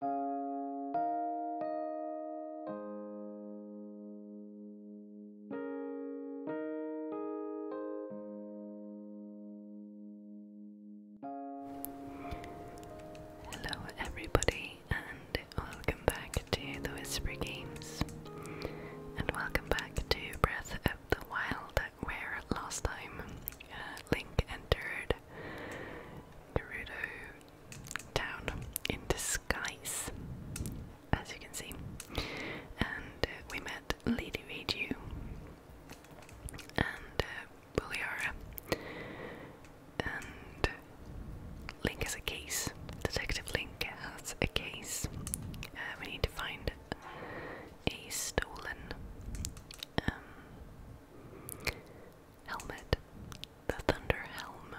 Hello, everybody, and welcome back to the Whisper Games, and welcome back to Breath of the Wild, where last time uh, Link entered Gerudo town in disguise, as you can see. And uh, we met Lady Reju and uh, And uh, Link has a case. Detective Link has a case. Uh, we need to find a stolen um, helmet, the Thunder Helm.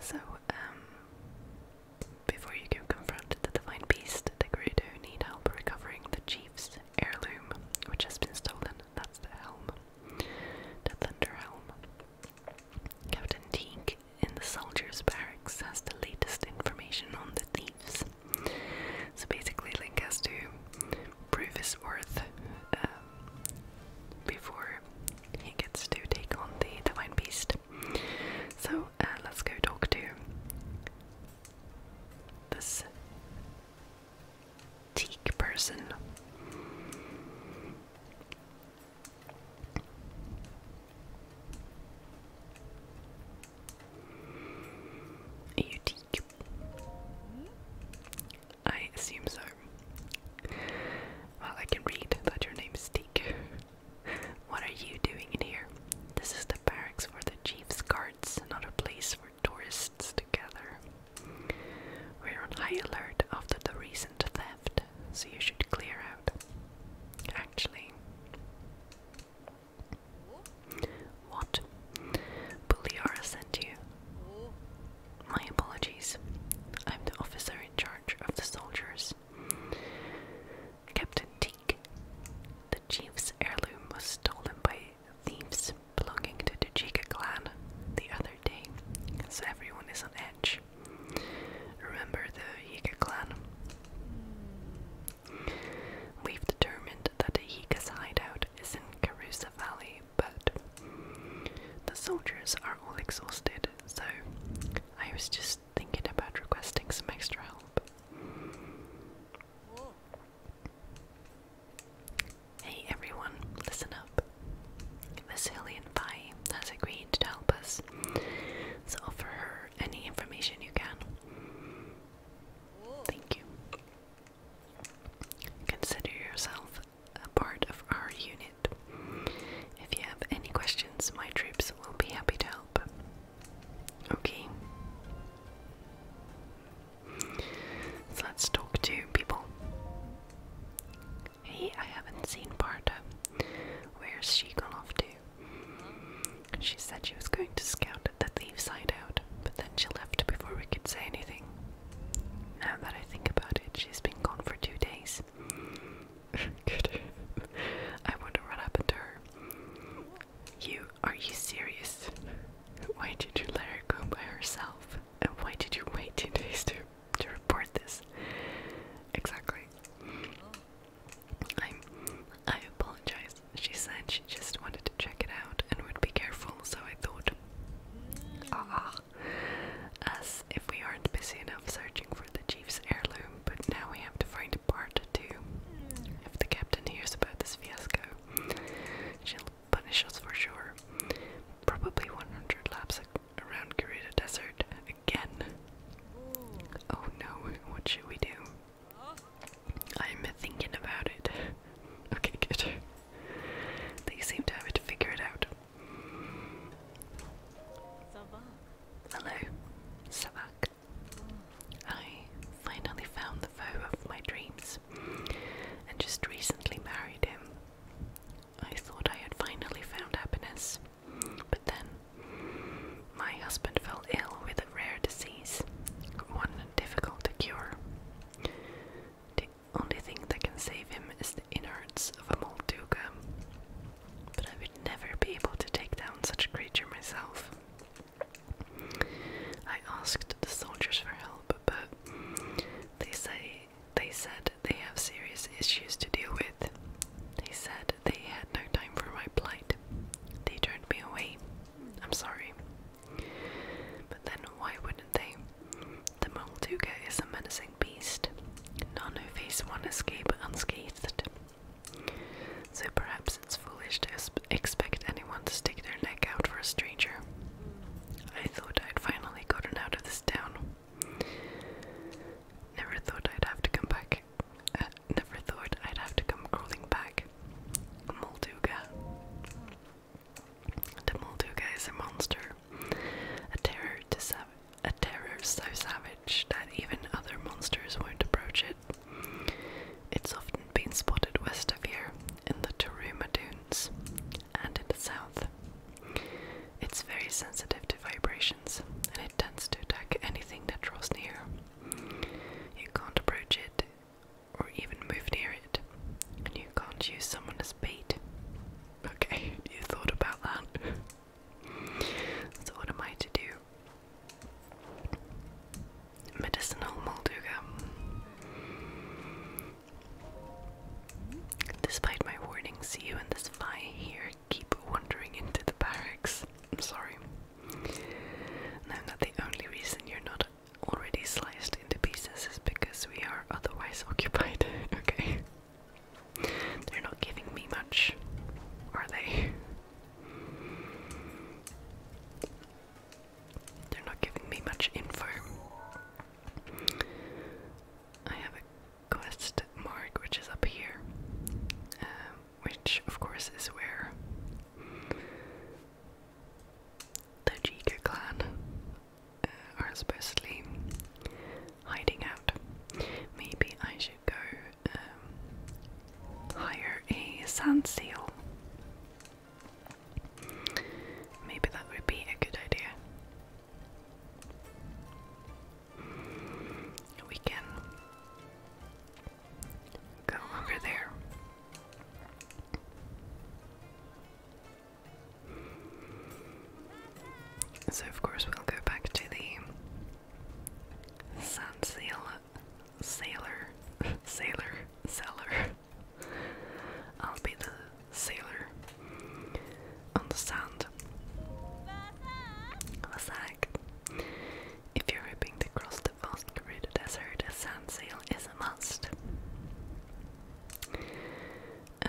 So, um, before you can confront the divine beast, the do need help recovering the chief's heirloom, which has been stolen. That's the helm, the Thunder Helm. Captain Teak in the soldiers' barracks has the latest information on the thieves. So basically, Link has to prove his worth uh, before he gets to take on the divine beast. So uh, let's go talk to this teak person. Are you teak? I assume so. Well, I can read that your name is Teak. what are you doing in here? This is the barracks for the chief's guards, another place for tourists to gather. We're on high alert after the recent theft, so you should clear out. Actually, what? Buliara sent you. My apologies. I'm the officer in charge of the soldiers. Captain Teak. The chief's heirloom was stolen by thieves belonging to the Jika clan the other day, so everyone is on edge. Remember the Jika clan? We've determined that the Jika's hideout is in Carusa Valley, but the soldiers are all exhausted, so I was just thinking about requesting some extra help. Hey everyone, listen up. This Hillian Vi has agreed to help us, so offer her any information you can. Thank you. Consider yourself a part of our unit. If you have any questions, my troops will be happy to help. Okay. So let's talk to people. Hey, I haven't seen Parta. Where's she gone off to? She said she was going to scout the thieves' hideout, but then she left before we could say anything. Now that I think about it, she's been gone for two days. I wonder what happened to her. You, are you serious? Why did you let her go by herself? And why did you wait two days to, to report this? Exactly. i I apologize. She said she just wanted to check it out and would be careful, so I thought. Ah, ah as if we aren't busy enough searching for the chief's heirloom, but now we have to find a part two. If the captain hears about this fiasco, she'll punish us for sure. Probably 100 laps around Garuda Desert again. Oh no, what should we do? I'm thinking about it. Okay, good. They seem to have it figured out. Hello, Savak. I finally found the foe of my dreams and just recently married him. I thought I had finally found happiness, but then my husband fell ill with a rare disease, one difficult to cure. The only thing that can save him is the innards of a Molduga. But I would never be able to take down such a creature myself. I asked the soldiers for help, but they say they said they have serious issues to deal with. They said they had no time for my plight. They turned me away. I'm sorry. But then why would they? The Molduga is a menacing beast. None of these one escape unscathed. So perhaps it's foolish to expect anyone to stick their neck out for a stranger. I thought I'd finally gotten out of this town. Never thought I'd have to come back. Uh, never thought I'd have to come crawling back. Molduga. The Molduga is a monster, a terror so savage that even other monsters won't approach it. It's often been spotted west of here, in the Taruma Dunes, and in the south. It's very sensitive to vibrations, and it tends to attack anything that draws near. You can't approach it, or even move near it, and you can't use someone as bait. Okay, you thought about that. so, what am I to do? Medicinal Molduga. Despite my warnings, you and this fly here keep wandering into the barracks. I'm sorry. Now that the only reason you're not already sliced cut into pieces is because we are otherwise occupied. okay. They're not giving me much, are they? They're not giving me much info. I have a quest mark which is up here, um, which of course is where the Jiga clan uh, are supposedly hiding out. Maybe I should go um, hire a sand seal. Maybe that would be a good idea. We can go over there. So, of course, we'll go back to the San Sailor, Sailor, Sailor, I'll be the sailor on the sand. Wasak. If you're hoping to cross the vast Gerudo Desert, a sand sail is a must. Uh,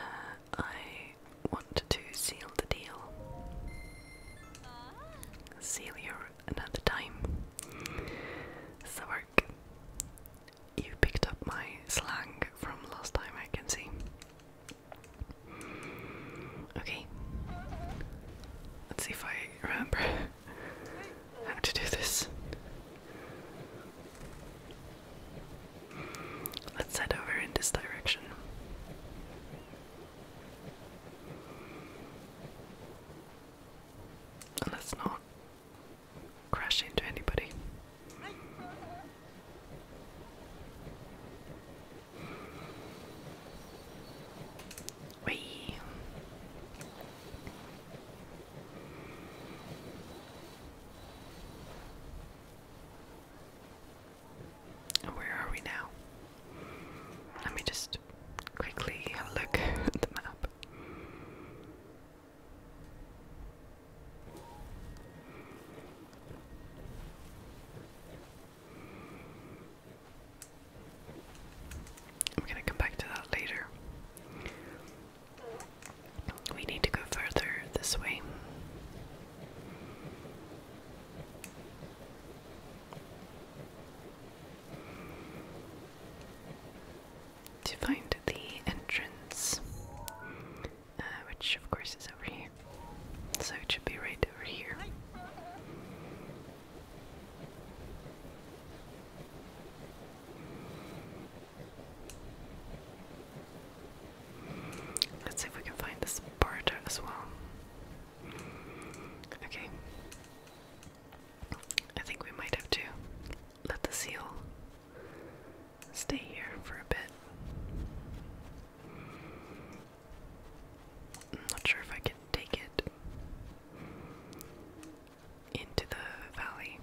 I want to seal the deal. Seal you another time. So You picked up my slang from last time I can see. Okay. Let's see if I remember how to do this. Let's head over in this direction. Let's not crash into anybody. Whee. Where are we now? Let me just quickly look at the map. I'm gonna come back to that later. We need to go further this way. To find the entrance, uh, which of course is over here, so it should be right over here. Let's see if we can find this part as well. Okay. I think we might have to let the seal stay here for a bit. I'm not sure if I can take it into the valley.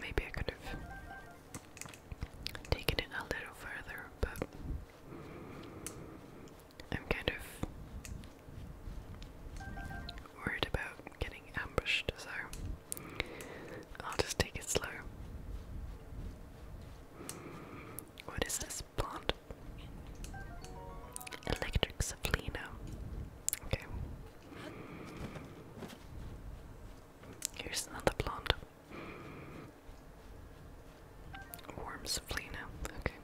Maybe I could have taken it a little further, but I'm kind of worried about getting ambushed, so I'll just take it slow. What is this plant? Electric Saplina. Okay. Here's another plant. Worms flee now. Okay.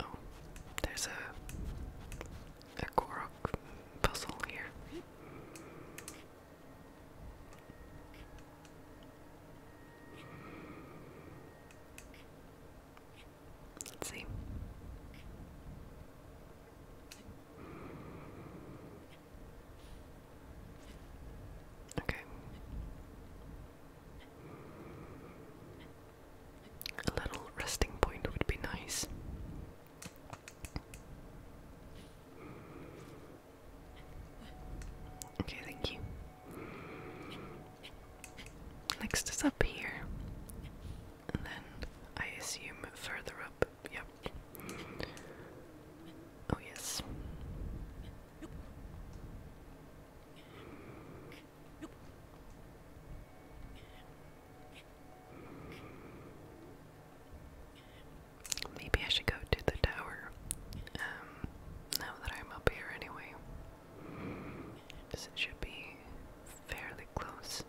Oh, there's a a Korok puzzle here. Let's see. Okay. A little resting point would be nice. Okay, thank you. Next is up here. And then I assume further up. Yep. Oh, yes. Maybe I should go to the tower. Um, now that I'm up here anyway. it should be fairly close.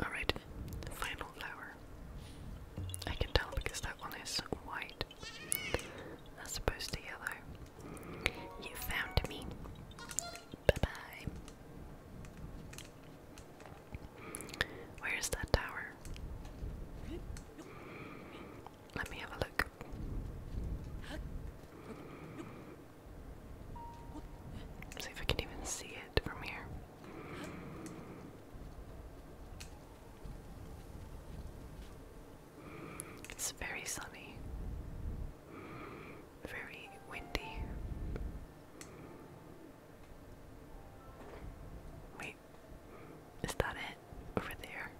Alright, final flower. I can tell because that one is white as opposed to yellow. You found me. Bye bye. Where is that tower? Let me have a look. See if I can even see it from here. It's very sunny, very windy. Wait, is that it? Over there?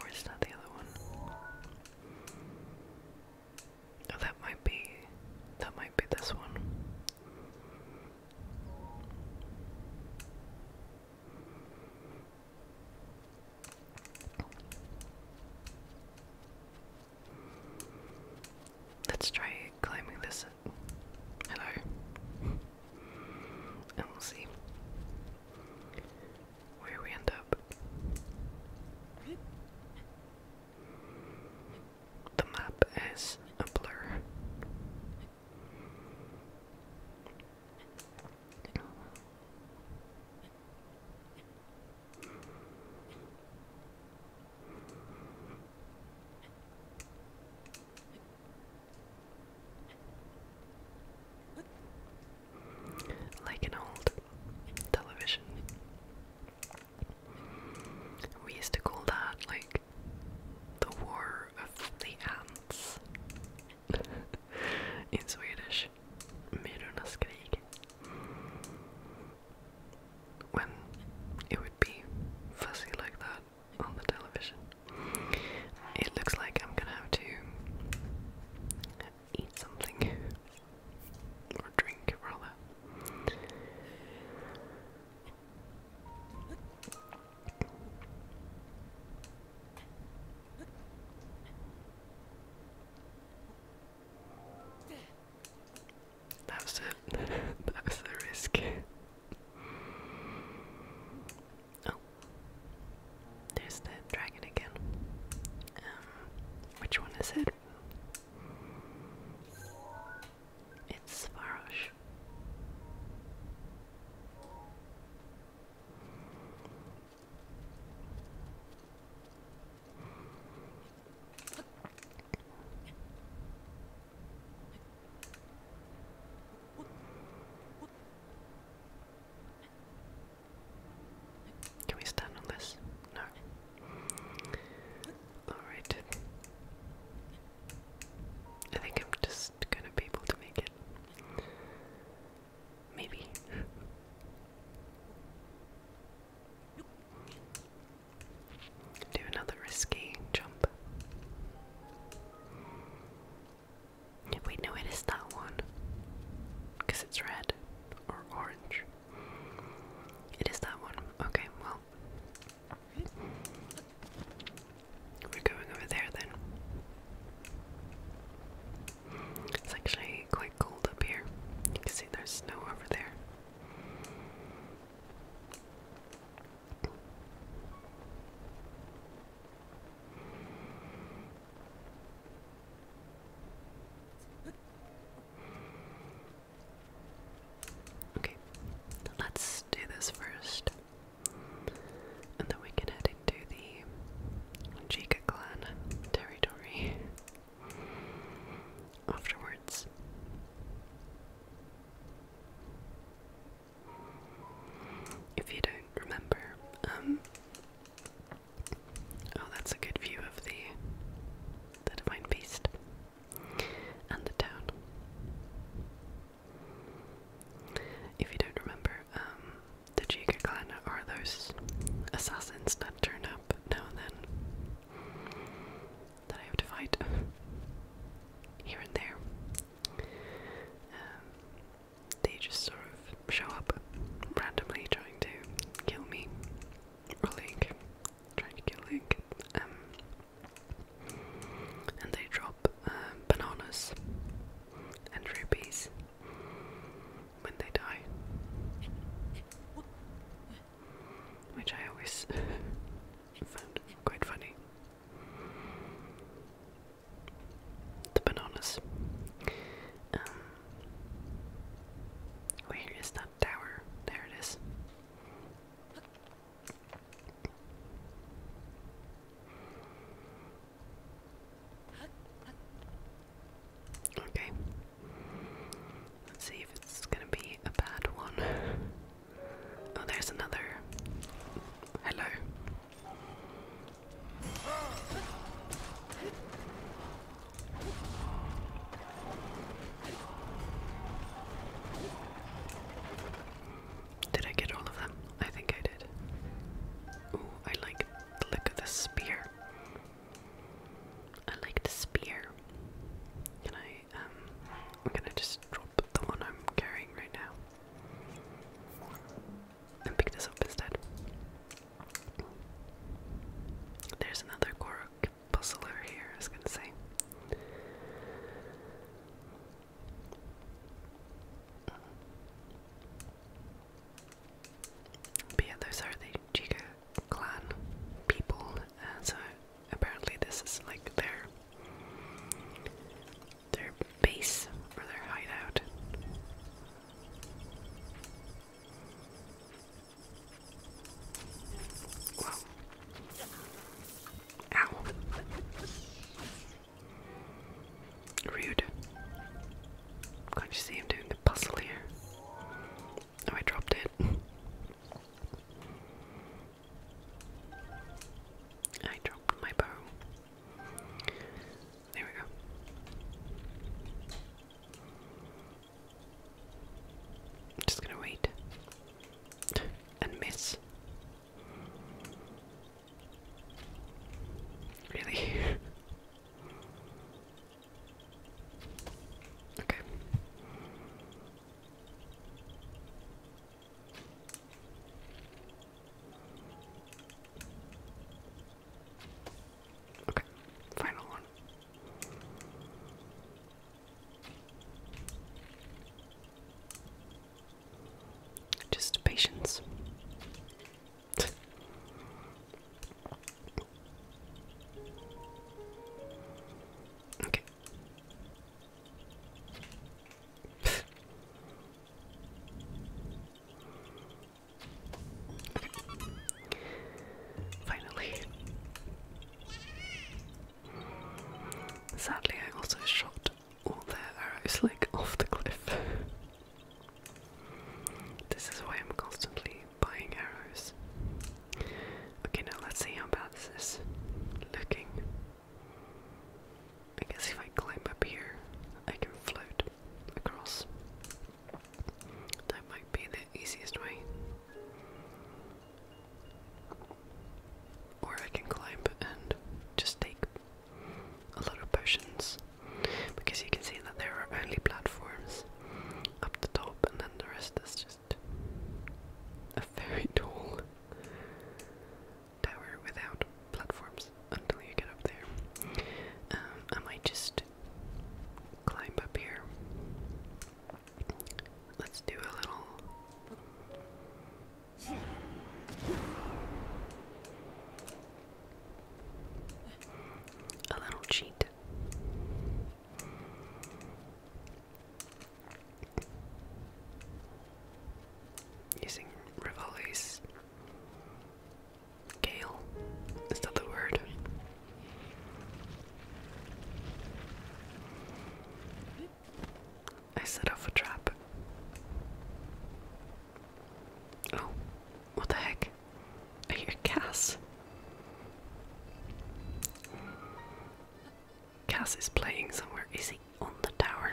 Or is that the other one? Oh, that might be. That might be this one. Let's try climbing this. Hello. And we'll see where we end up. The map is a blur. Like an old television. We used to call that like the War of the Ants in Swedish. Myrornas krig when it would be fuzzy like that on the television. It looks like I'm gonna have to eat something or drink rather. That was it. that was the risk. oh. There's the dragon again. Um, which one is it? It's Farosh. Can we stand on this? No. Alright. I think I'm just gonna be able to make it. Maybe. Do another risky jump. Wait, no, it is that one. Because it's red or orange. It is that one. Okay, well. We're going over there then. It's actually quite cold up here. You can see there's snow over there. Okay, let's do this first, and then we can head into the Jika clan territory afterwards. If you don't remember, um, oh, that's a good view of the divine beast and the town. If you don't remember, um, the Jiga clan are those assassins that turn up now and then that I have to fight here and there. Um, they just sort of show up randomly trying to kill me or Link, trying to kill Link. Um, and they drop um, bananas and rupees when they die, which I always I found quite funny. The bananas. Um, where is that tower? There it is. Okay. Let's see if it's gonna be a bad one. Oh, there's another. Hello. Did I get all of them? I think I did. Ooh, I like look of the spear. I like the spear. Can I um, I'm gonna just drop the one I'm carrying right now and pick this up instead. There's another Korok puzzle here, I was gonna say. yeah, those are the Jiga clan people, uh, so apparently this is like their their base or their hideout. Ow. Rude. Can't you see him doing the puzzle here? Oh, I dropped it. I dropped my bow. There we go. just gonna wait and miss. Really? okay. Okay, final one. Just patience. okay. Finally. Sadly, I also shot all their arrows like off the cliff. this is why I'm constantly buying arrows. Okay, now let's see how bad this is looking. I guess if I climb up here, I can float across. That might be the easiest way. Or I can climb and just take a lot of potions. Because you can see that there are only platforms up the top, and then the rest is just a very tall tower without platforms until you get up there. Um, I might just climb up here. Let's do a little. A little cheat. Using Rivali's Gale. Is that the word? I set off a trap. Oh, what the heck? I hear Cass. Cass is playing somewhere. Is he on the tower?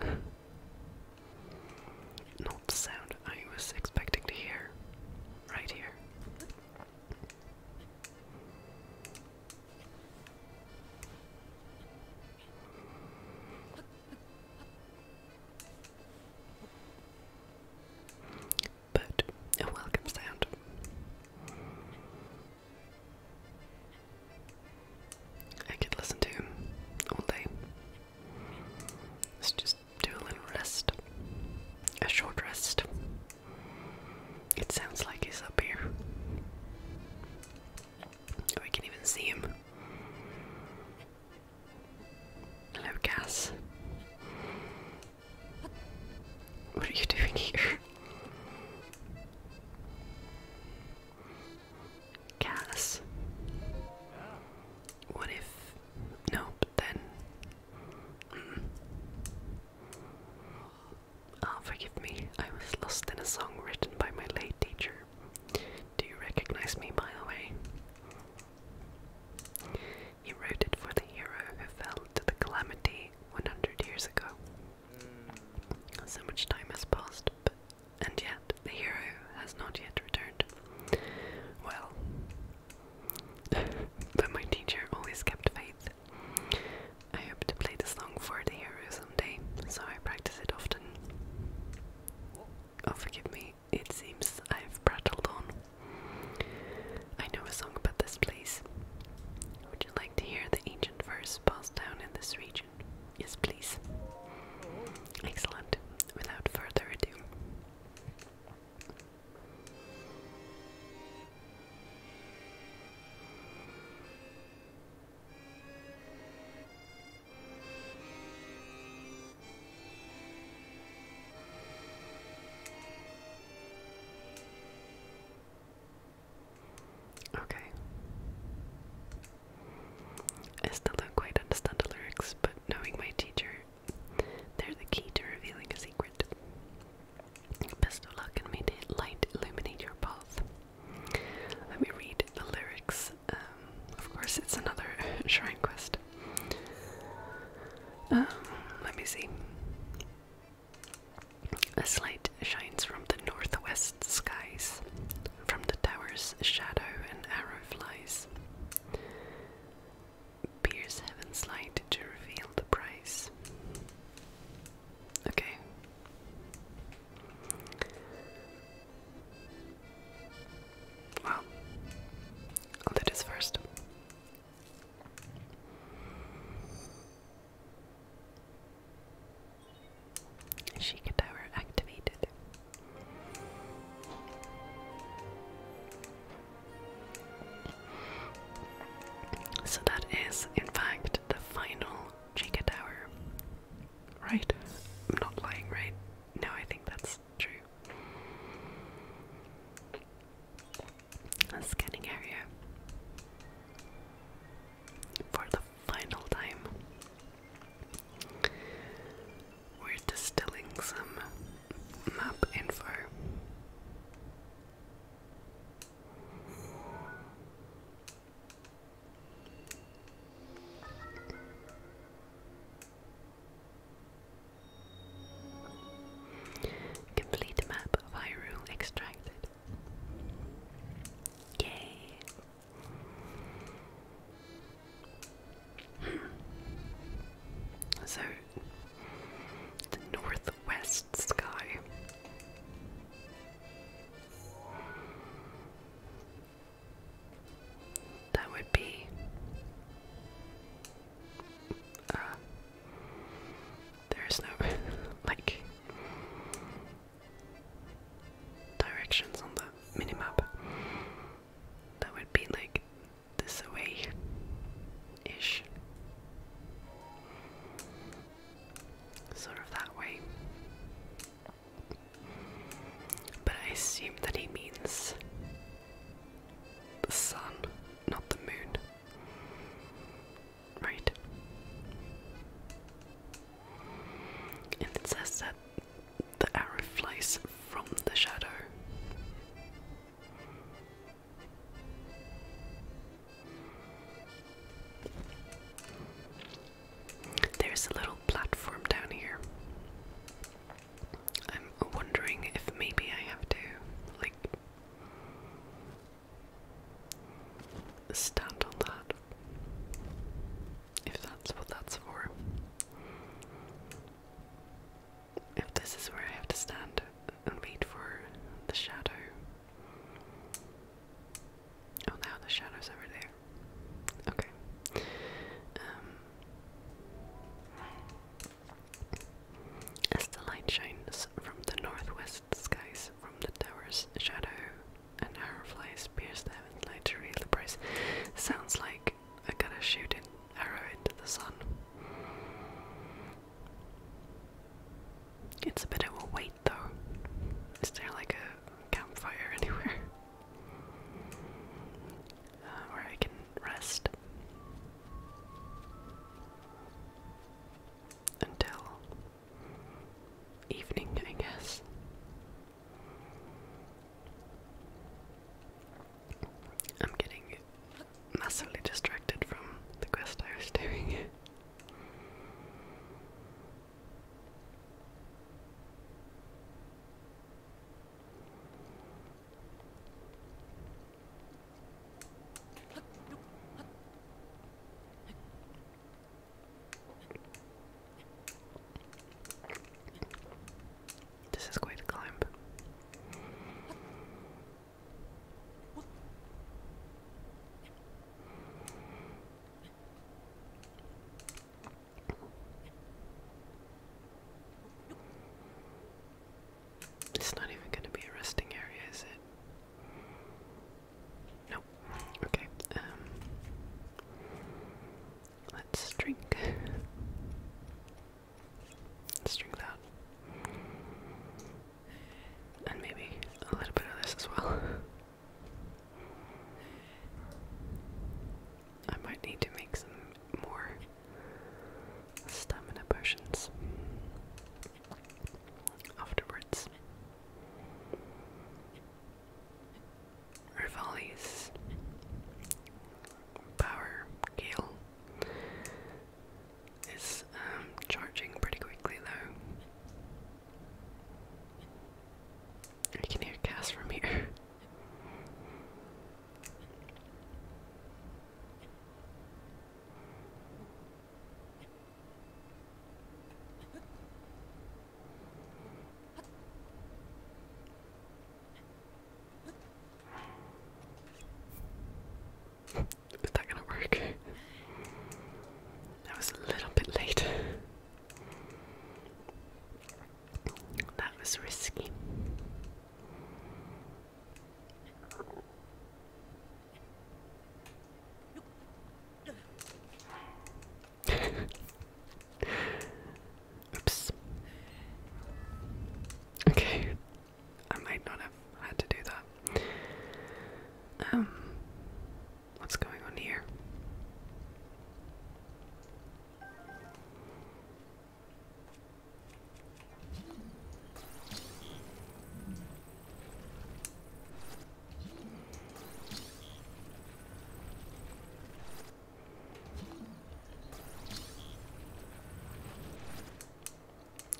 Not the sound I was expecting to hear. Right here. But a welcome sound. I could listen to him all day. Let's just do a little rest. A short rest. It sounds like he's up here. I can not even see him. Hello, Cass. What are you doing here? Cass. What if. Nope, then. Mm. Oh, forgive me, I was lost in a song written by my late teacher. Do you recognize me, by the way? He wrote it for the hero who fell to the calamity 100 years ago. Mm. So much time has passed, but, and yet the hero has not yet returned. Well, but my teacher always kept faith. I hope to play the song for the hero someday, so I practice it often. Oh, forgive me, it seems I've prattled on. I know a song about this place like to hear the ancient verse passed down in this region? Yes, please. Excellent. Without further ado. Okay. I still don't quite understand the lyrics, but knowing my teacher, they're the key to revealing a secret. Best of luck and may the light illuminate your path. Let me read the lyrics. Um, of course, it's another shrine quest. Um, let me see. A light shines from the northwest skies. From the tower's shadow an arrow flies. Pierce heaven's light to reveal the prize. Okay. Well, i first. Sheikah Tower activated. So that is, in fact, the final Chica Tower. Right? I'm not lying, right? No, I think that's true. A scanning area for the final time. We're distilling some map info. Complete map of extracted. Yay. So, the northwest sky. That would be uh, there's no like directions on the minimap. That would be like this way, ish. Sort of that way. But I assume that he means the sun, not the moon right? And it says that the arrow flies from the shadow. There's a little platform down here. I'm wondering if maybe I have to, like, stand on that. If that's what that's for. If this is where I have to stand and wait for the shadow. Oh, now the shadow's over there. Okay. Um, as the light shines from the northwest skies from the tower's shadow, an arrow flies, pierce them, and later read the price. Sounds like I gotta shoot an arrow into the sun. It's a bit of a wait though. Is there like a campfire anywhere? Uh, where I can rest until evening, I guess. I'm getting massively distracted from the quest I was doing. This is quite a climb. It's not even going to be a resting area, is it? No. Okay. Um, let's drink. let that. And maybe a little bit of this as well. I might need to make some more stamina potions afterwards. Rivali's power gale is um, charging pretty quickly though. I can hear Cass from here. Is that gonna work? That was a little bit late. That was risky. Oops. Okay. I might not have had to do that. Um, what's going on here?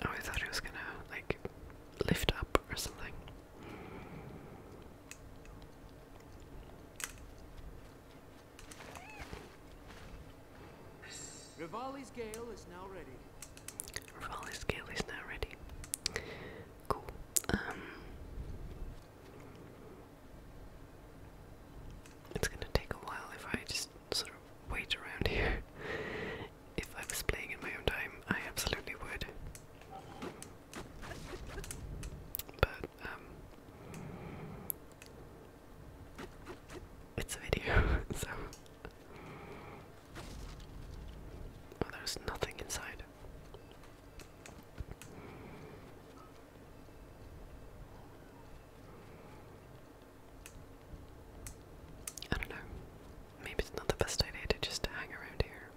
Oh, I thought it was gonna like lift up or something. Rivali's Gale is now ready. Rivali's Gale is now ready. Cool. Um it's gonna take a while if I just sort of wait around here. If I was playing in my own time, I absolutely would. But, um, it's a video, so. there's nothing inside. I don't know. Maybe it's not the best idea to just hang around here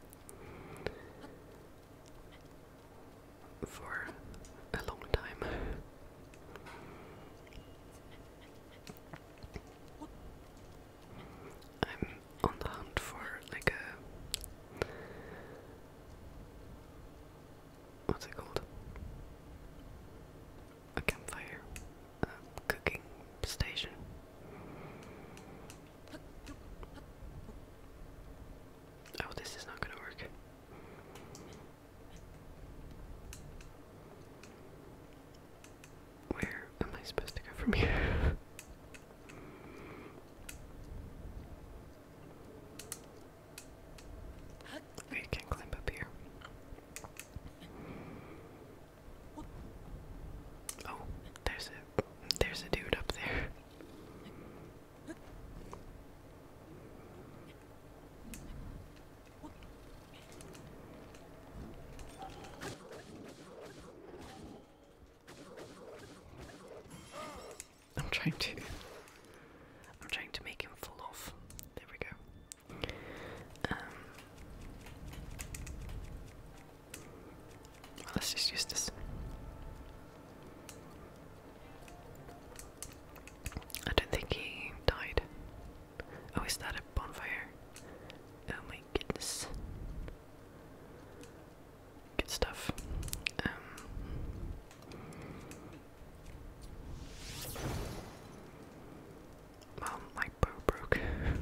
for a long time. I'm on the hunt for like a what's it called? A campfire, a um, cooking station. Oh, this is not gonna work. Where am I supposed to go from here? Oh, you can climb up here. Oh, there's a there's a dude up there. I'm trying to I'm trying to make him fall off. There we go. let's just use this. I don't think he died. Oh, is that a bonfire? Oh my goodness good stuff. Um, well, my bow broke. Mm.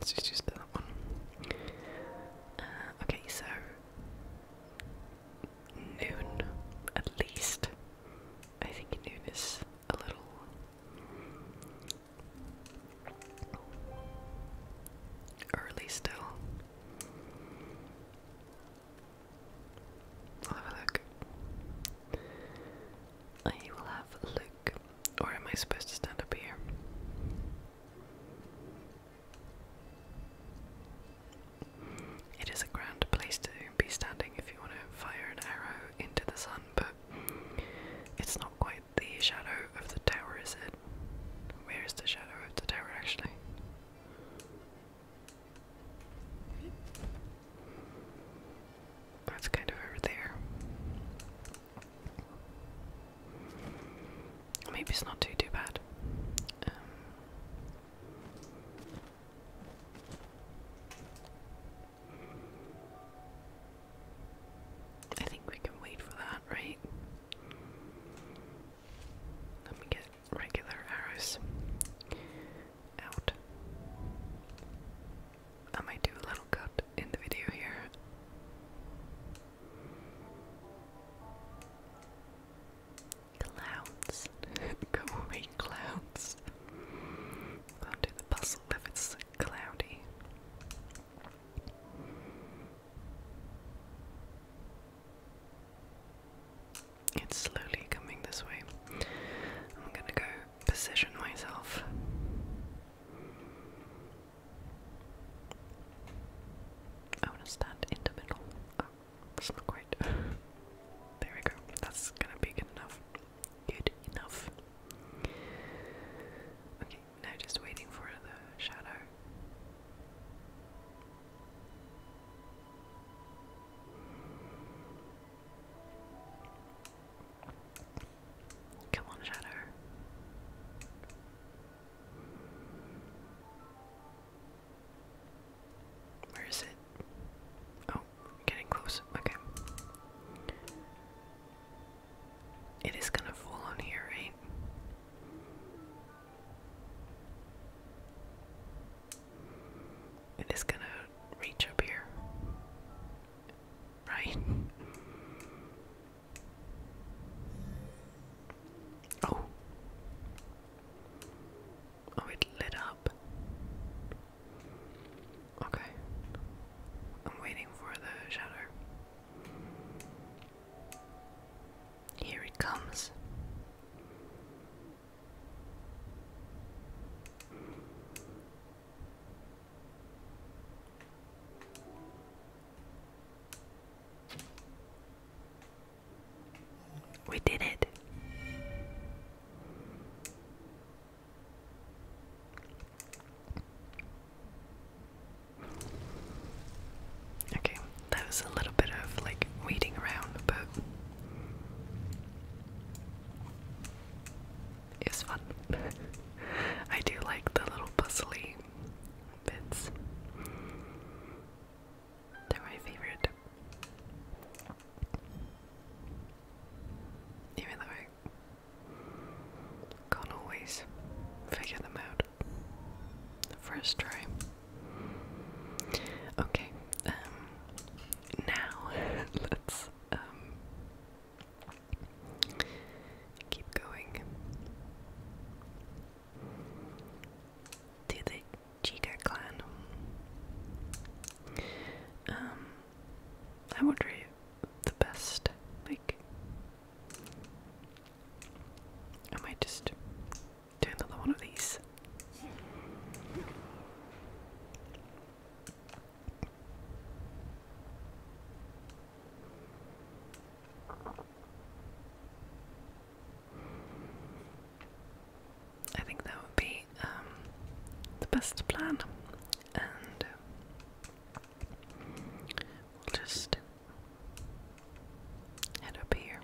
Let's just use that one. Uh, okay, so noon at least. I think he knew a little. Early still. have a look. I will have a look. Or am I supposed to stand up here? It is a grand place to be standing if you want to fire an arrow into the sun, but it's not quite the shadow of the tower, is it? Where is the shadow of the tower actually? That's kind of over there. Maybe it's not too too bad. Um, I think we can wait for that, right? Let me get regular arrows out. I might do a little cut in the video here. Clouds. Go away, clouds. Can't do the puzzle if it's cloudy. It's slowly coming this way. I'm gonna go position myself. I want to stand in the middle. Oh, that's not great there we go. That's gonna be good enough. Good enough. Okay, now just waiting for the shadow. Come on, shadow. Where is it? Oh, getting close. Okay. It is gonna fall on here, right? It is gonna reach up here. Right? Oh. Oh, it lit up. Okay. I'm waiting for the shatter. Here it comes. We did it. Okay, that was a little bit of like waiting around, but it was fun. I do like the little puzzly bits. They're my favorite even though I can't always figure them out the first time. Okay, um, now let's um, keep going to the Chica clan. Um, I would rate the best. Like, I just do another one of these. I think that would be um, the best plan, and uh, we'll just head up here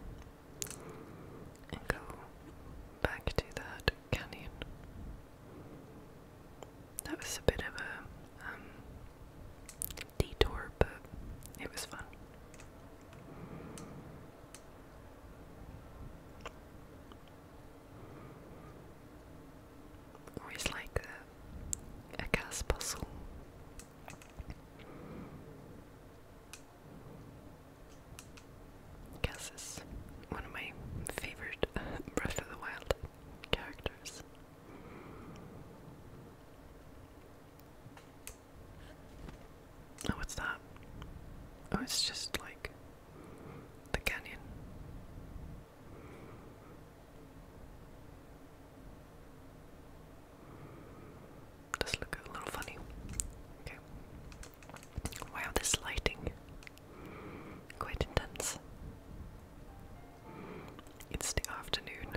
and go back to that canyon. That was a bit of a um, detour, but it was fun. Or it's like a, gas puzzle. Gas one of my favorite Breath of the Wild characters. Oh, what's that? Oh, it's just like the canyon. Does look a little funny. Okay. Wow, this lighting. Quite intense. It's the afternoon.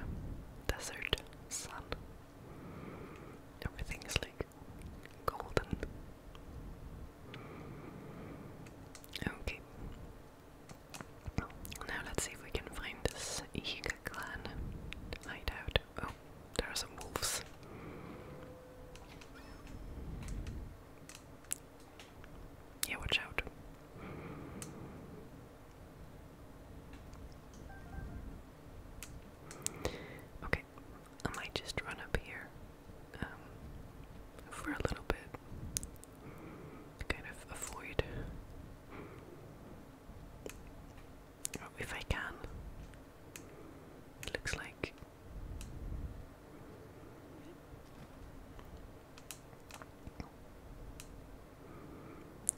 Desert sun. Everything is like golden. Okay. Now let's see if we can find this Higa clan hideout. Oh, there are some wolves. Yeah, watch out. Okay, I might just run up here um, for a little bit, kind of avoid oh, if I can. It looks like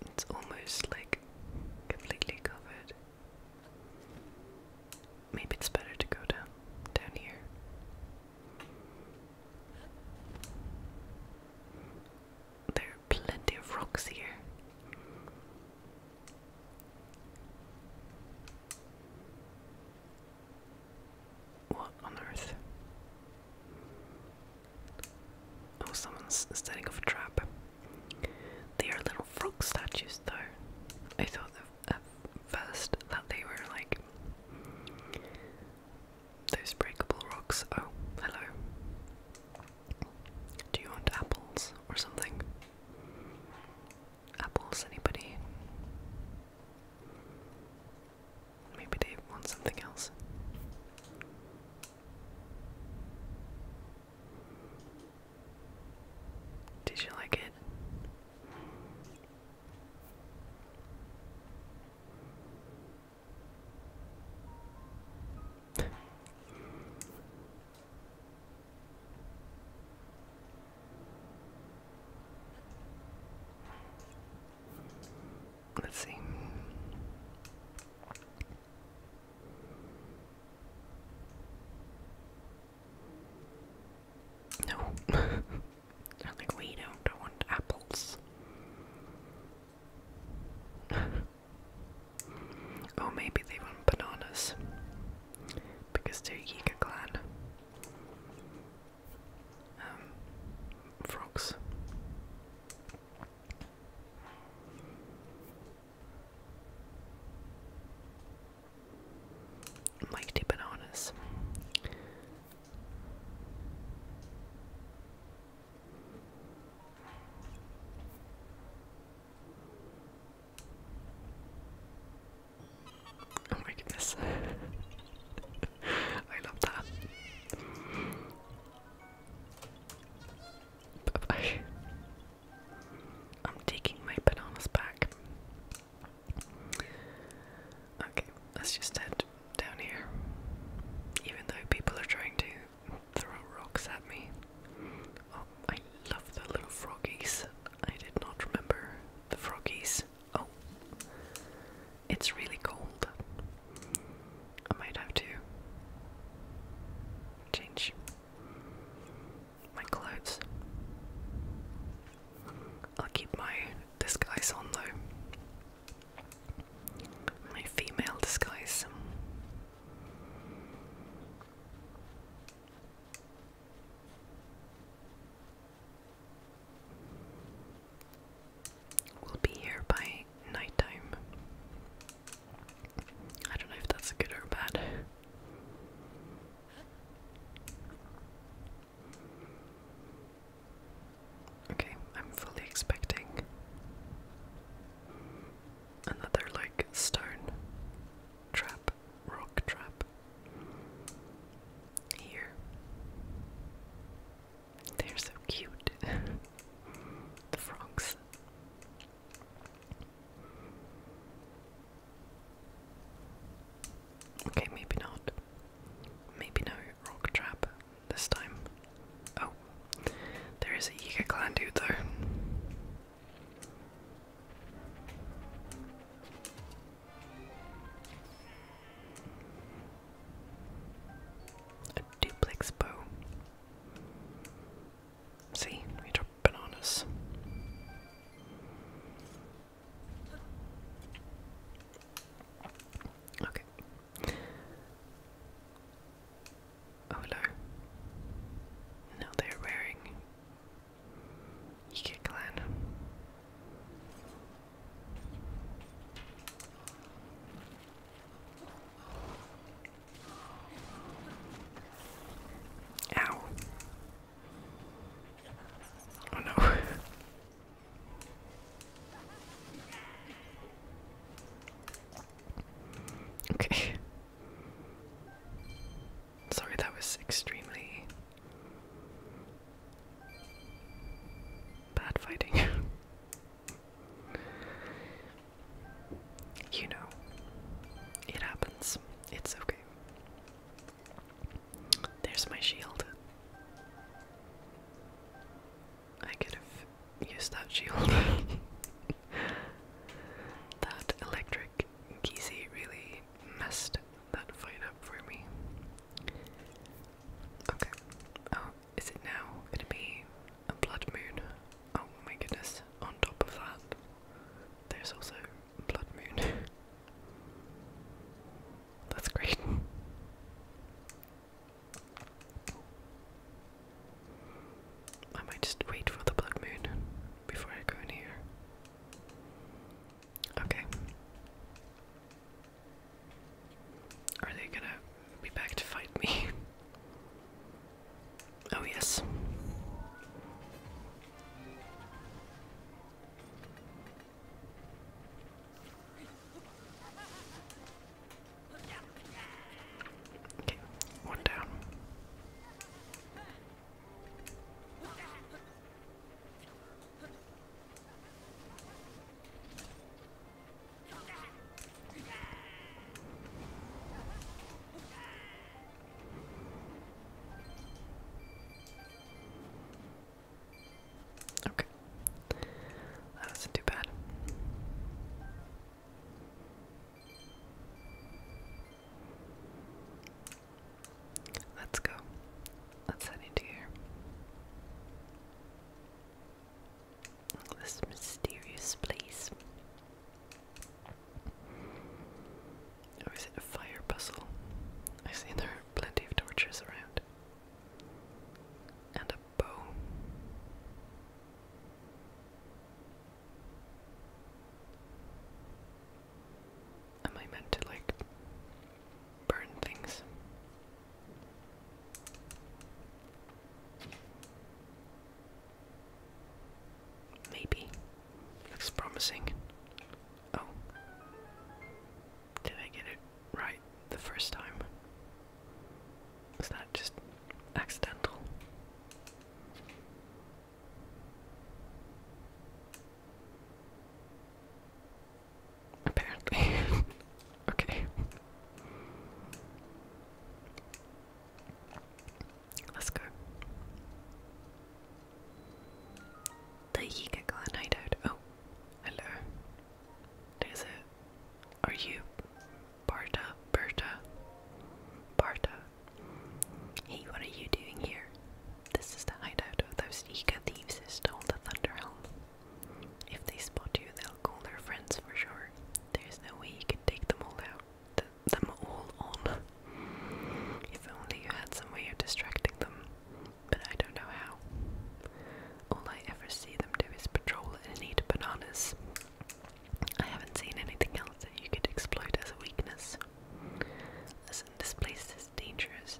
it's almost like completely covered maybe it's better to go down down here. There are plenty of rocks here. What on earth? Oh, someone's setting off a trap. They are little frog statues, though. I thought they at first that they were like those breakable rocks. Oh, hello. Do you want apples or something? Apples, anybody? Maybe they want something else. Did you like it? Let's see. No. They're like, we don't want apples. oh, maybe they want bananas. Because they're Yiga clan. Um, frogs. Mike DeBonis. Oh my goodness. I love that. I'm taking my bananas back. Okay, let's just head down here. Even though people are trying to throw rocks at me. Oh, I love the little froggies. I did not remember the froggies. Oh, it's really cold. I might have to change my clothes. I'll keep my disguise on though. My female disguise. will be here by nighttime. I don't know if that's good or bad. Okay, I'm fully expecting another like stone trap, rock trap here. They're so cute. the frogs. Okay, maybe not. Maybe no rock trap this time. Oh, there is a Yiga clan dude though. A duplex bow. See, we drop bananas. Okay. Oh no. Now they're wearing Yike Ow. Oh no. Okay. Sorry, that was extremely bad fighting. you know, it happens. It's okay. There's my shield. I could have used that shield. that electric Gizi really messed that fight up for me. Okay. Oh, is it now gonna be a blood moon? Oh my goodness. On top of that, there's also blood moon. That's great. I might just wait for the blood moon before I go in here. Okay. Are they gonna be back to fight me? Oh, yes. Okay, one down. Okay. That wasn't too bad. Let's go. Let's head into here. This mysterious place. Or is it a fire puzzle? I see there are plenty of torches around and a bow. Am I meant to like burn things? Maybe. Looks promising. Oh. Did I get it? right the first time? Was that just accidental? Apparently. okay. Let's go. The Yika Clan hideout. Oh, hello. Is it? Are you Barta? Berta? Barta? Hey, what are you doing here? This is the hideout of those eager thieves who stole the Thunder Helm. If they spot you, they'll call their friends for sure. There's no way you can take them all out, them all on. If only you had some way of distracting them but I don't know how. All I ever see them do is patrol and eat bananas. I haven't seen anything else that you could exploit as a weakness. Listen, this place is dangerous.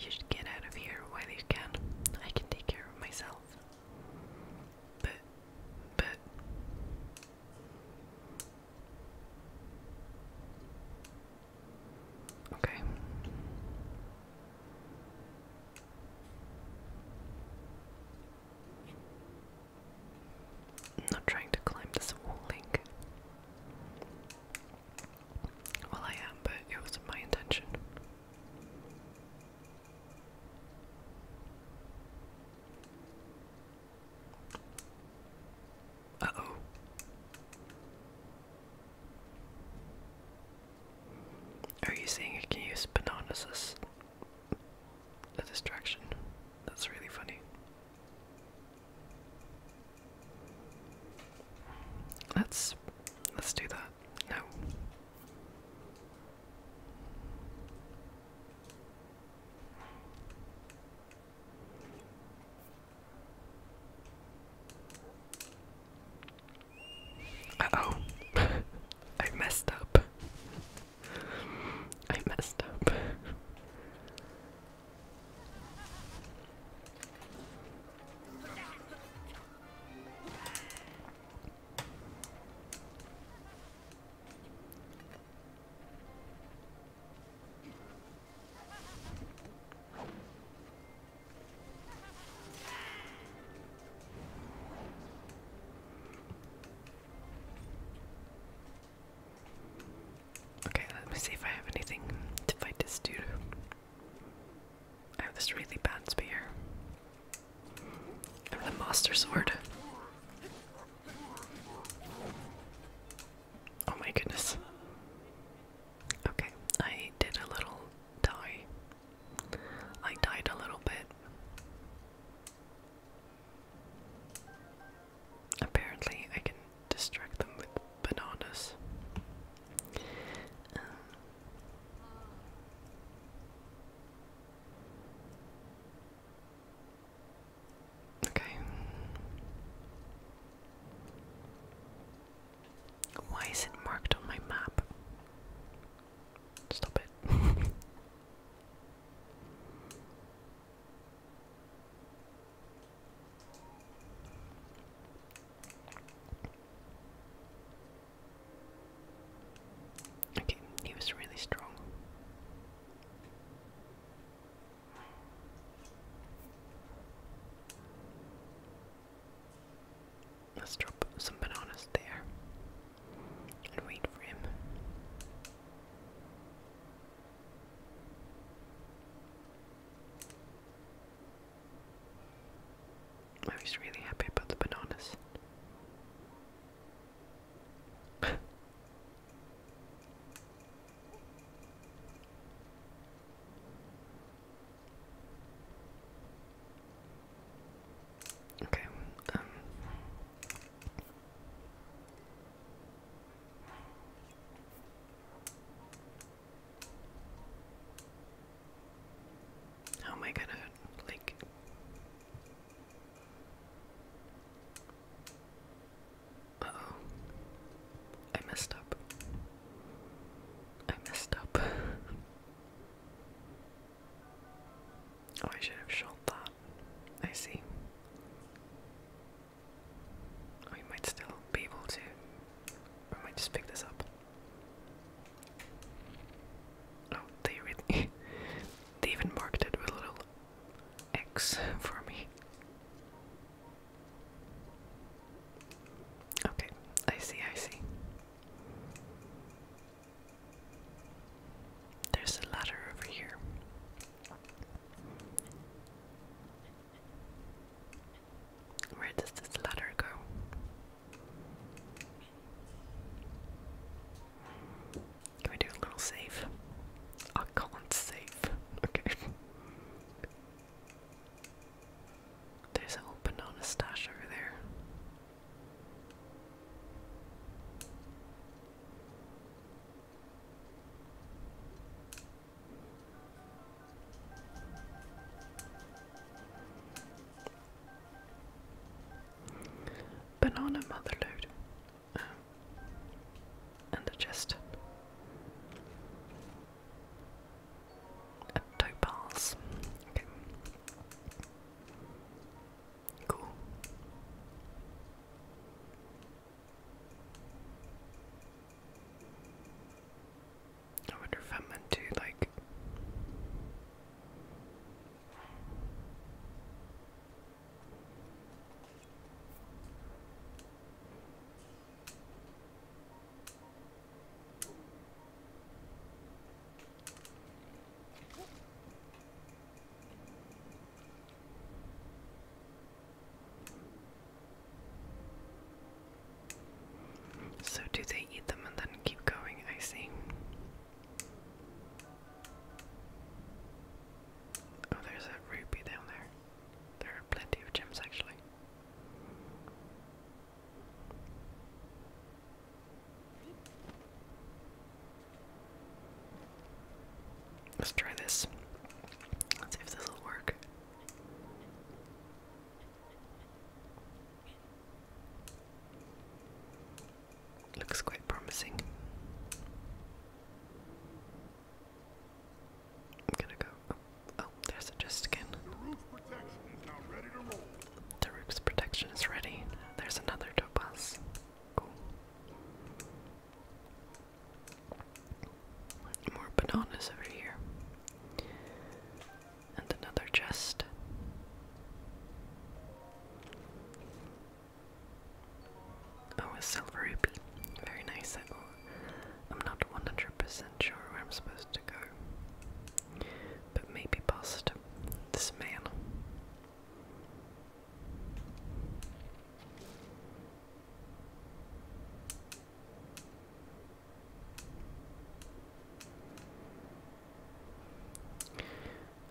You should get out of here while you can. I can take care of myself. But, but. Okay. not trying to climb this wall link. Well, I am, but it wasn't my intention. Uh oh. Are you saying I can use bananas as a distraction? That's really funny. Let's let's do that. No. Uh oh. I messed up. I messed up. Okay, let me see if I have anything to fight this dude. I have this really bad spear. I have the monster sword. Oh my goodness. Okay, I did a little die. I died a little bit. Apparently, I can distract them with bananas. Um, okay. Why is it marked on my map? Stop it. okay, he was really strong. Let's drop some bananas there and wait for him. I really happy about the bananas. Okay, um how oh am uh, like oh I messed up I messed up Oh, I should have shot that. I see. We might still be able to. Or might just pick this up. Oh, they really. they even marked it with a little X for me. Okay, I see, I see. There's a ladder over here. Where does this ladder go? Can we do a little save? I can't save. Okay. There's an old banana stash over there. Banana motherload um, and a chest. Uh, Toe balls. Okay. Cool. I wonder if I'm meant to like so, do they eat them and then keep going? I see. Oh, there's a ruby down there. There are plenty of gems actually. Let's try this. Let's see if this will work. Looks quite promising. I'm gonna go. Oh, there's a just again. The rook's protection is ready. There's another topaz. Cool. More bananas over here. And another chest. Oh, a silver rupee. Very nice. I'm not 100% sure where I'm supposed to go. But maybe past this man.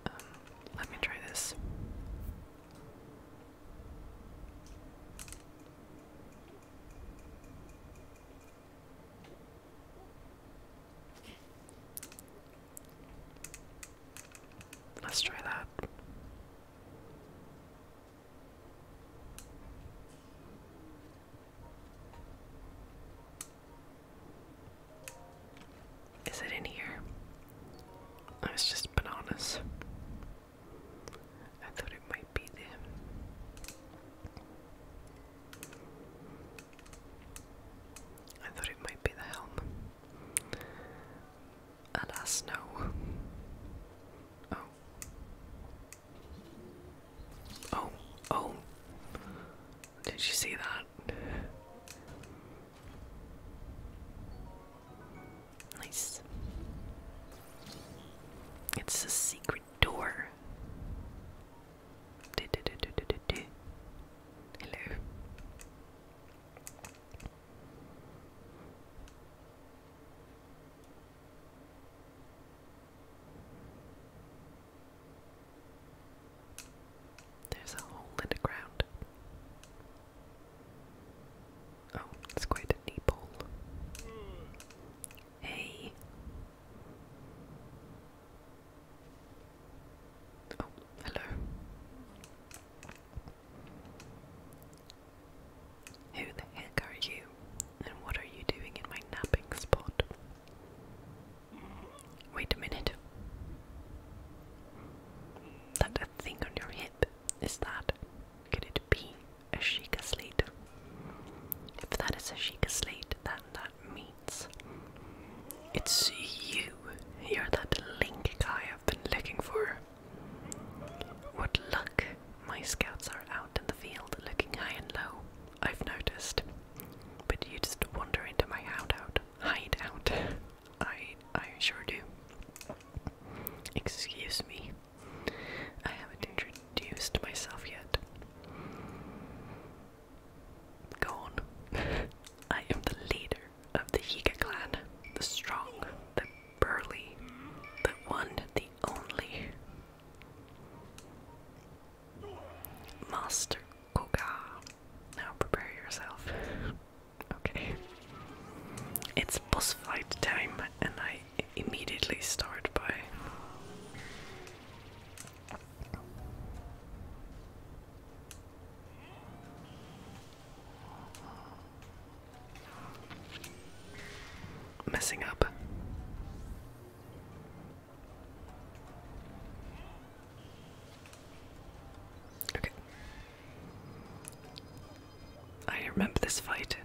Um, let me try this. Let's try that. Is it in here? Oh, it's just bananas. I thought it might be there. I thought it might be the helm. Alas, no. Oh. Oh, oh. Did you see that? Nice. It's a secret door. Do, do, do, do, do, do. Hello. There's a hole in the ground. Oh, it's quite a deep hole. Hey. Oh, hello. Who the heck are you? And what are you doing in my napping spot? Wait a minute. That thing on your hip, is that? Could it be a Sheikah slate? If that is a Sheikah slate, then that means. It's you. You're that link I've been looking for. What luck! My scouts are out in the field looking high and low, I've noticed. But you just wander into my hideout. Hideout. I, I sure do. Excuse me. I haven't introduced myself yet. Go on. I am the leader of the Higa clan, the strong, the burly, the one, the only. Master Koga. Now prepare yourself. Okay. It's boss fight time, and I immediately start by Messing up. Okay. I remember this fight.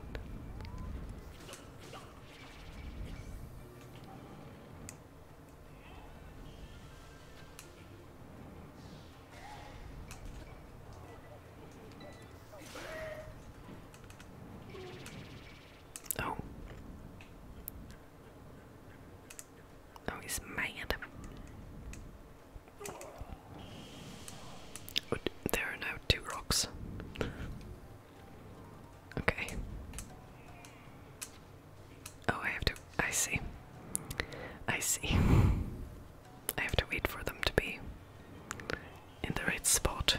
Oh. Oh, he's mad. Oh, there are now two rocks. Okay. Oh, I have to. I see. I see. I have to wait for them to be in the right spot.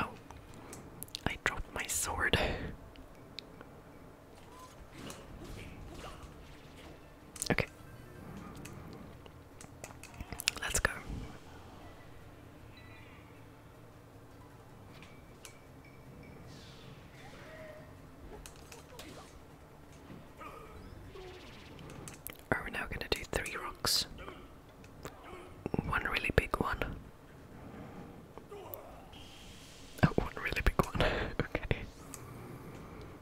Oh, I dropped my sword. Okay. Let's go. Are we now gonna do three rocks? One really big one. Oh, one really big one. okay.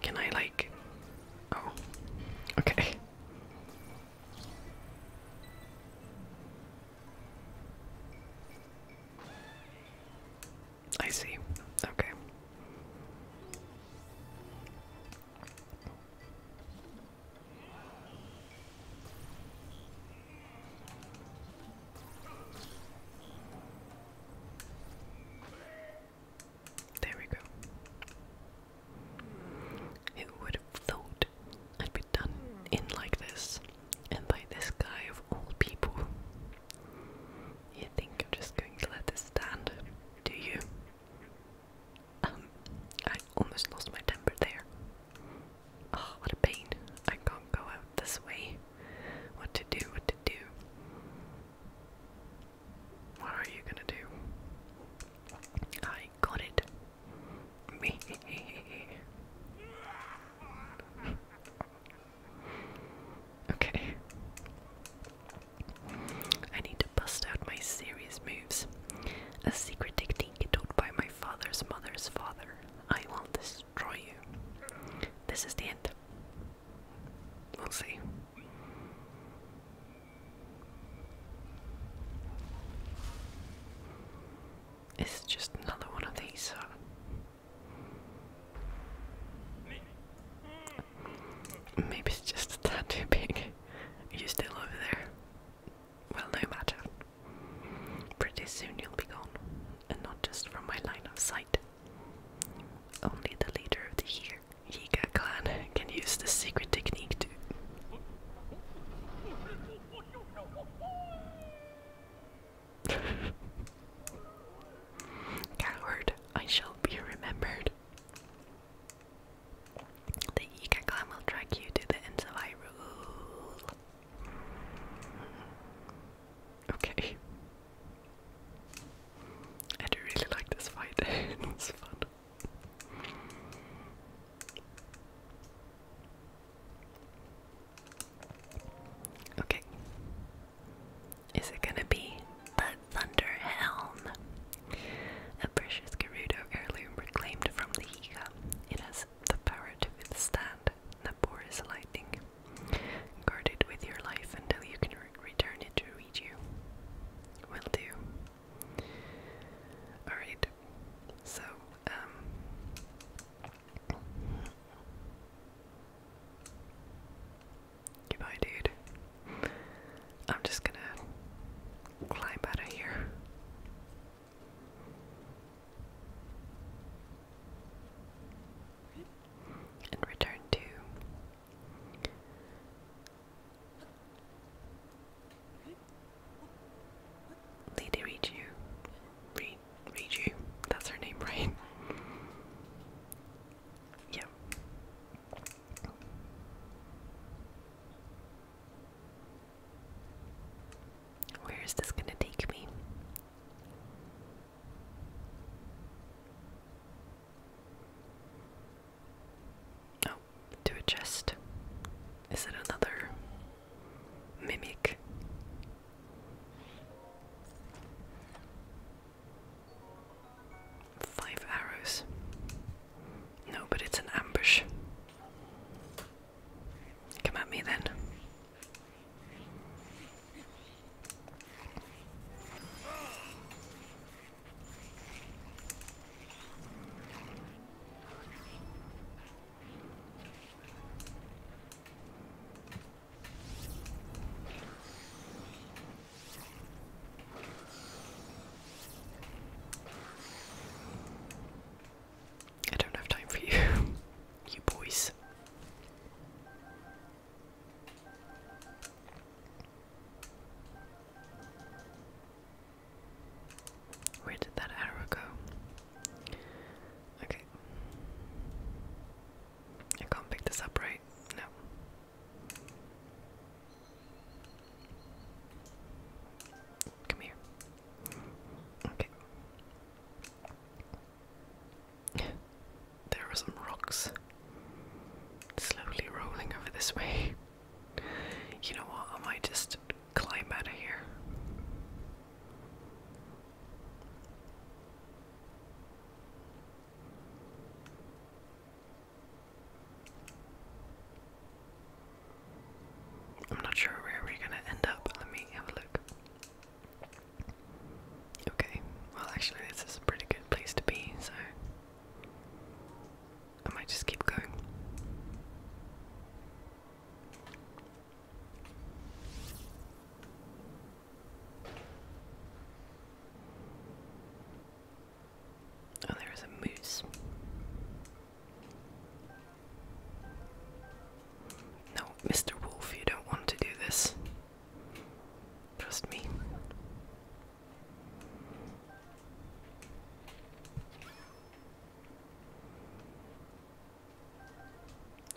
Can I like oh okay. I see. Okay. There we go. It would have thought I'd be done in like this, and by this guy of all people. You think I'm just going to let this stand, do you? Um, I almost lost my temper there. Oh, what a pain. I can't go out this way. What to do, what to do. What are you gonna do? I got it. Me. okay. I need to bust out my serious moves. A secret technique taught by my father's mother's father. I will destroy you. This is the end. We'll see. It's just another one of these. Uh, maybe it's just a tad too big. Are you still over there? Well, no matter. Pretty soon you'll be gone, and not just from my line of sight. Only the leader of the year Higa clan can use this secret technique too. Coward, I shall be remembered. The Ika clan will track you to the ends of Hyrule. Hmm. Okay. I do really like this fight, it's fun. Okay. Is it gonna be the Thunder Helm? A precious Gerudo heirloom reclaimed from the Higa. It has the power to withstand Naboris lightning. Guard it with your life until you can return it to reach you. Will do. Alright, so, um, Goodbye, dude. I'm just gonna climb out of here. And return to Lady Reju. Re Reju. That's her name, right? Yeah. Where is this going to take me? Oh, to a chest. Is it another mimic? Five arrows. No, but it's an ambush. Come at me then. I don't have time for you, you boys. Where did that arrow go? Okay. I can't pick this up, No. Come here. Okay. there are some rocks slowly rolling over this way. You know what? I might just climb out of here. I'm not sure where we're gonna end up, let me have a look. Okay, well, actually, this is a pretty good place to be, so. I might just keep going. Oh, there is a moose. No, Mr. Wolf, you don't want to do this. Trust me.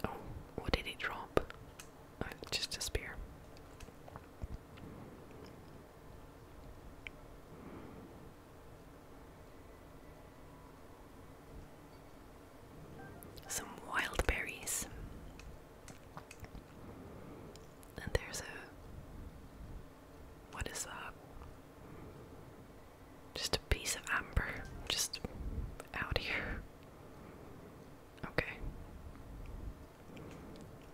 Oh, what did he drop? Oh, just a spear. Some wild berries. And there's a what is that? Just a piece of amber. Just out here. Okay.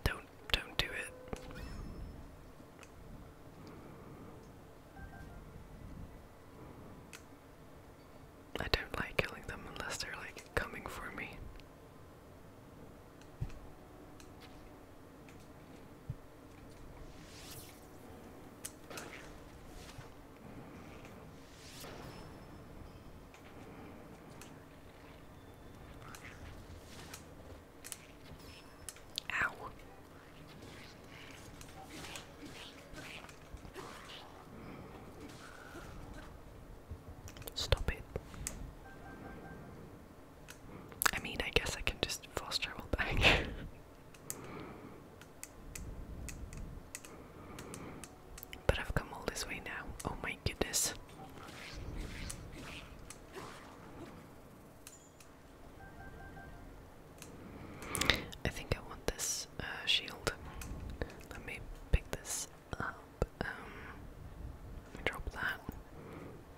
Don't don't do it. I don't like killing them unless they're like coming for me. Ow. Stop it. I mean, I guess I can just fast travel back. but I've come all this way now. Oh my goodness. I think I want this uh, shield. Let me pick this up. Um, drop that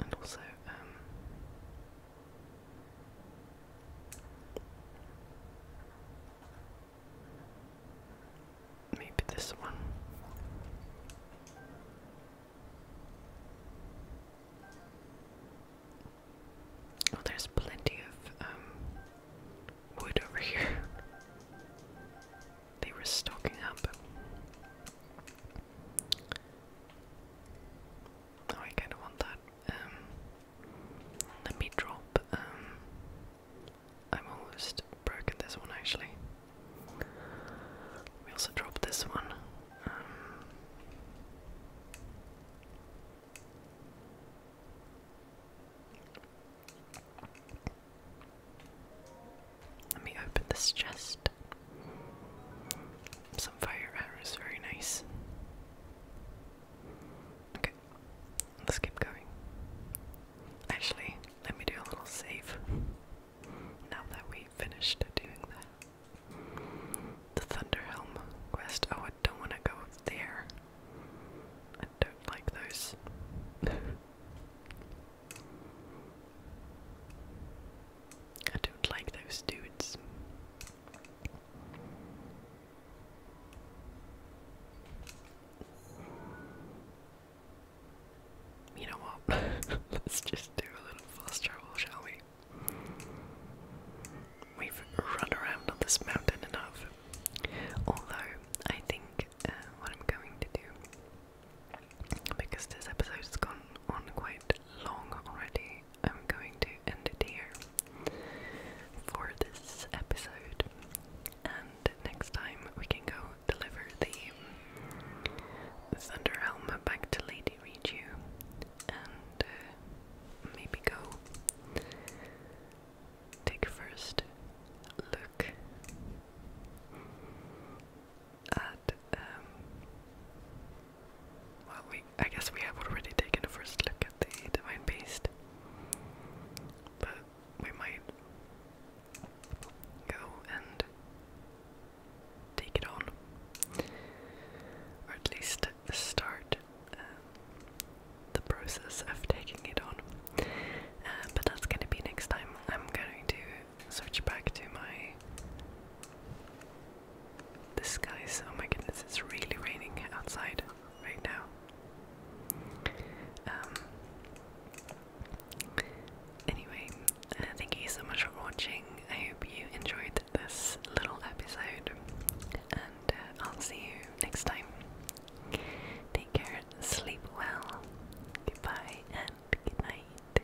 and also um, maybe this one. Well, oh, there's plenty of um, wood over here. they were stocking up. Oh, I kind of want that. Um, let me drop. Um, I'm almost broken this one actually. We also dropped this one. Um, let me open this chest. Some fire arrows, very nice. Okay, let's keep going. Actually, let me do a little save. Now that we finished doing that. The Thunderhelm quest. Oh, I don't want to go there. I don't like those. I don't like those dudes. You know what? Let's just do a little fast travel, shall we? We've run around on this mountain enough. Although, I think uh, what I'm going to do because this episode has gone on quite long already, I'm going to end it here for this episode. And next time we can go deliver the Thunder Helm back to Lady Reju and uh, maybe go take first look. Um, well, we, I guess we have already taken a first look at the Divine Beast, but we might go and take it on, or at least start um, the process of taking it on. Uh, but that's gonna be next time. I'm going to search back to my the sky is, oh my goodness, it's really raining outside right now. Um, anyway, uh, thank you so much for watching. I hope you enjoyed this little episode, and uh, I'll see you next time. Take care, sleep well, goodbye, and good night.